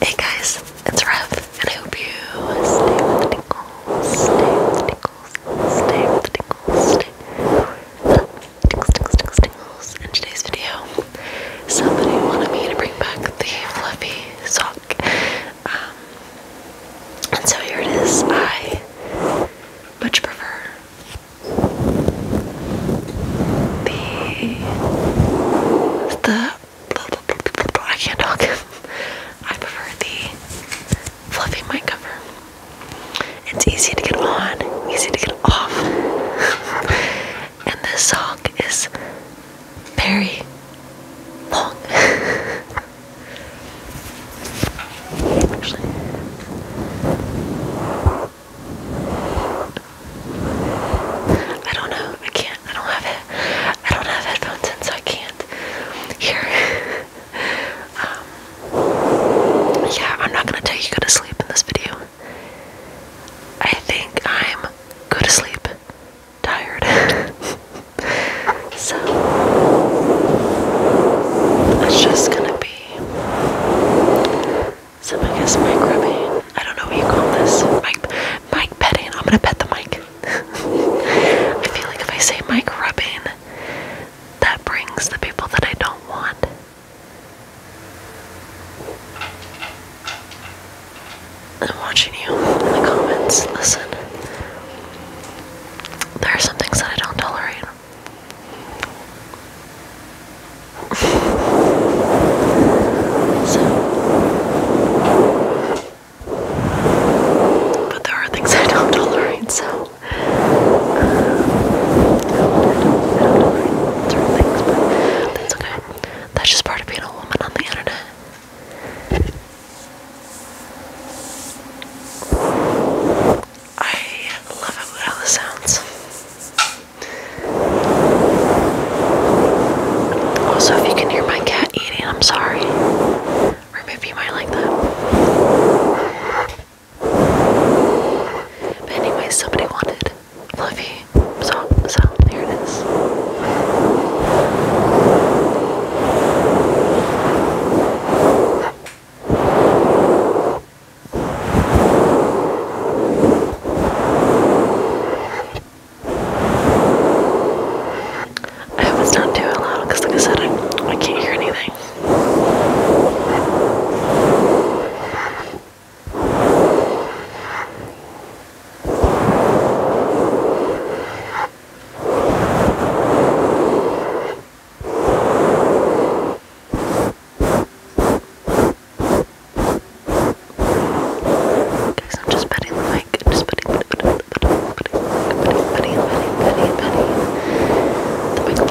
Hey guys, it's Rev, and I hope you stay with the tingles, stay with the tingles, stay with the tingles, stay with tingles, tingles, tingles, tingles. In today's video, somebody wanted me to bring back the fluffy sock. Um, and so here it is. I much prefer the the I can't talk. I prefer the fluffy mic cover. It's easy to get on, easy to get off. and this sock is very long. Actually. I don't know. I can't. I don't have it. I don't have headphones in, so I can't hear. Um, yeah, I'm not gonna tell you go to sleep in this video. I think I'm go to sleep, tired. so it's just gonna be some I guess I don't know what you call this. Mic mic petting. I'm gonna pet the mic. I feel like if I say mic rubbing, that brings the people that I don't want. I'm watching you in the comments. Listen. There are some things that I don't tolerate. But there are things I don't tolerate, so. Um, that's okay. That's just part of being a woman on the internet. I love how, how this sounds. Also, if you can hear my cat eating, I'm sorry. maybe you might like that. But anyway, somebody wanted fluffy, so, so here it is. I hope it's not too loud because, like I said, I, I can't hear anything. Guys, I'm just petting the mic. I'm just petting, petting, petting, petting, petting, petting, petting, petting, petting, petting, petting, Guys,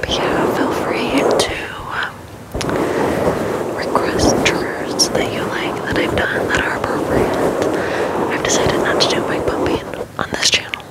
But yeah, feel free to um, request triggers that you like that I've done that are appropriate. I've decided not to do my pumping on this channel.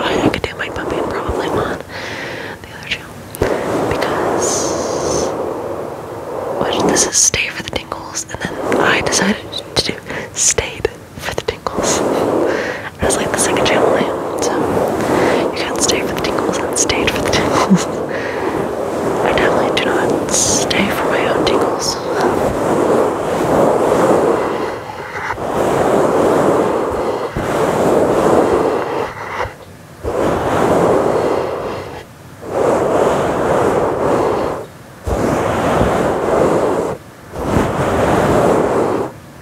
I, could do my pumping probably on the other channel because this is stay for the tingles, and then I decided to do stay for the tingles. I was like the second channel name. So you can't stay for the tingles. I stayed for the tingles. I definitely do not stay for my own tingles.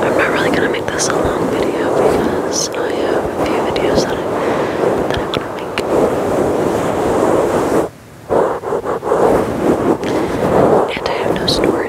I'm not really gonna make this a long video because I have a few videos that I am I want to make. And I have no storage.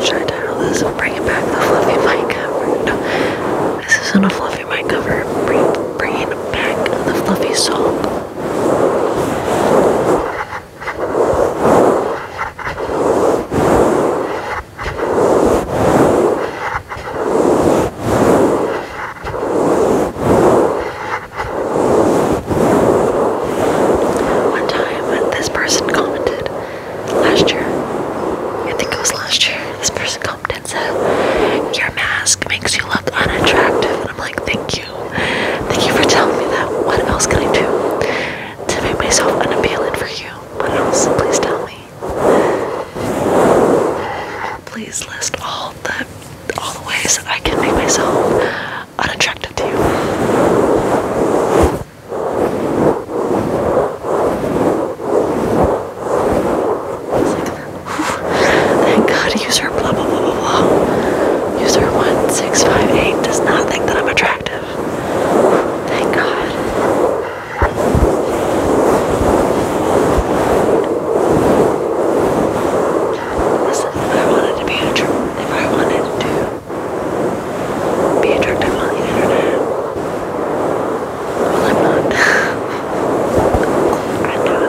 Should I title this Bringing Back the Fluffy Mic Cover? this isn't a fluffy mic cover. bringing back the fluffy soap. One time, this person commented, last year. I think it was last year. This person commented said, Your mask makes you look unattractive. And I'm like, Thank you. Thank you for telling me that. What else can I do to make myself unappealing for you? What else? Please tell me. Please list all the all the ways that I can make myself unattractive to you. Thank God, user blah blah blah blah blah. User 1658 does not think that I'm attractive. Thank God. Listen, if I wanted to be a if I wanted to be a drug millionaire. Well, I'm not. I'm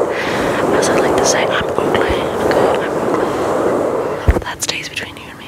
As I like to say, I'm ugly. Okay, I'm ugly. That stays between you and me.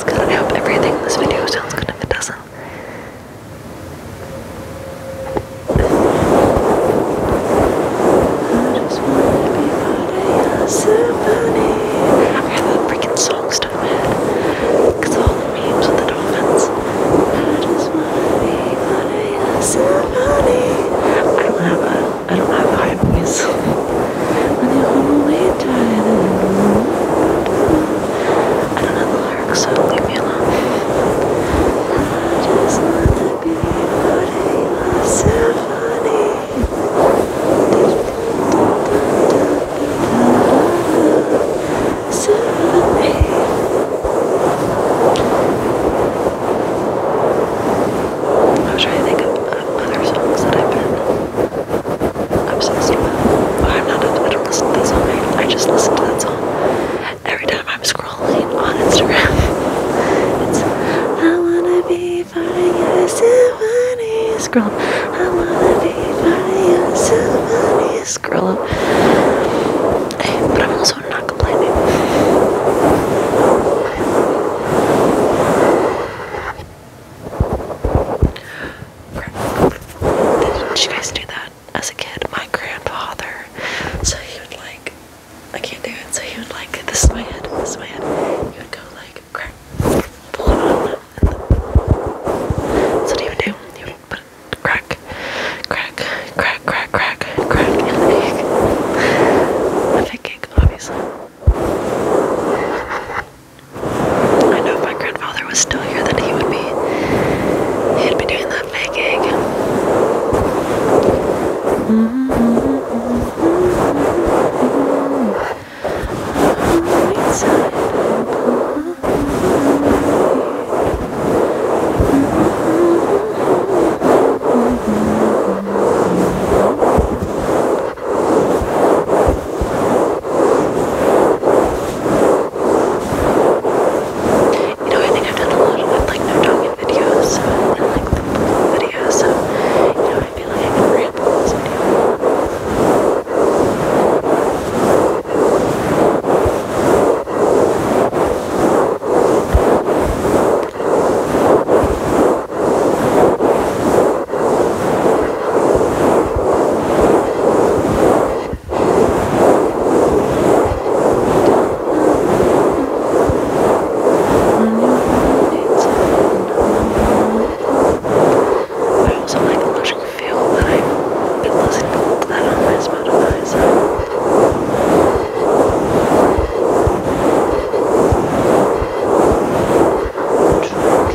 sounds good. I hope everything in this video sounds good if it doesn't. I just wanna be part of symphony. I have that freaking song stuck in my head. Cause all the memes with the dolphins. I just wanna be part of symphony. I don't have a I don't have a high voice. I don't know the lyrics, so leave me alone. I just wanna be floating on a symphony. Symphony. I was trying to think of other songs that I've been I'm so stupid. I'm not, I don't listen to that song, I, just listen to that song every time I'm scrolling on Instagram. I wanna be part of your symphony, scroll. I wanna be part of your symphony, scroll. but I'm also not complaining. Did you guys do that as a kid? My grandfather. So he would like, I can't do it. So he would like, this is my head, this is my head. He would go like, crack, pull it on. And that's what do. He would put crack, crack, crack, crack, crack, crack, and like, a big obviously. I know if my grandfather was still here that he would be he'd be doing that fake you know, I think I've done a lot of like no talking videos and like the videos, you know, I feel like but also like electric feel that I've listening to that on my Spotify. Okay, I'm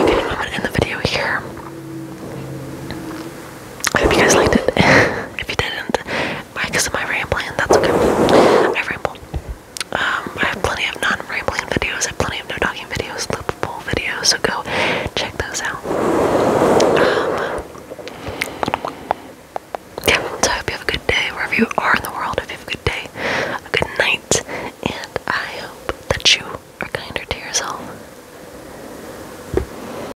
gonna end the video here. I hope you guys liked it. if you didn't, Right, because am I rambling? That's okay. I ramble. Um, I have plenty of non-rambling videos. I have plenty of no talking videos, loopable videos. So go check those out. Um, yeah, so I hope you have a good day wherever you are in the world. have a good day, a good night, and I hope that you are kinder to yourself.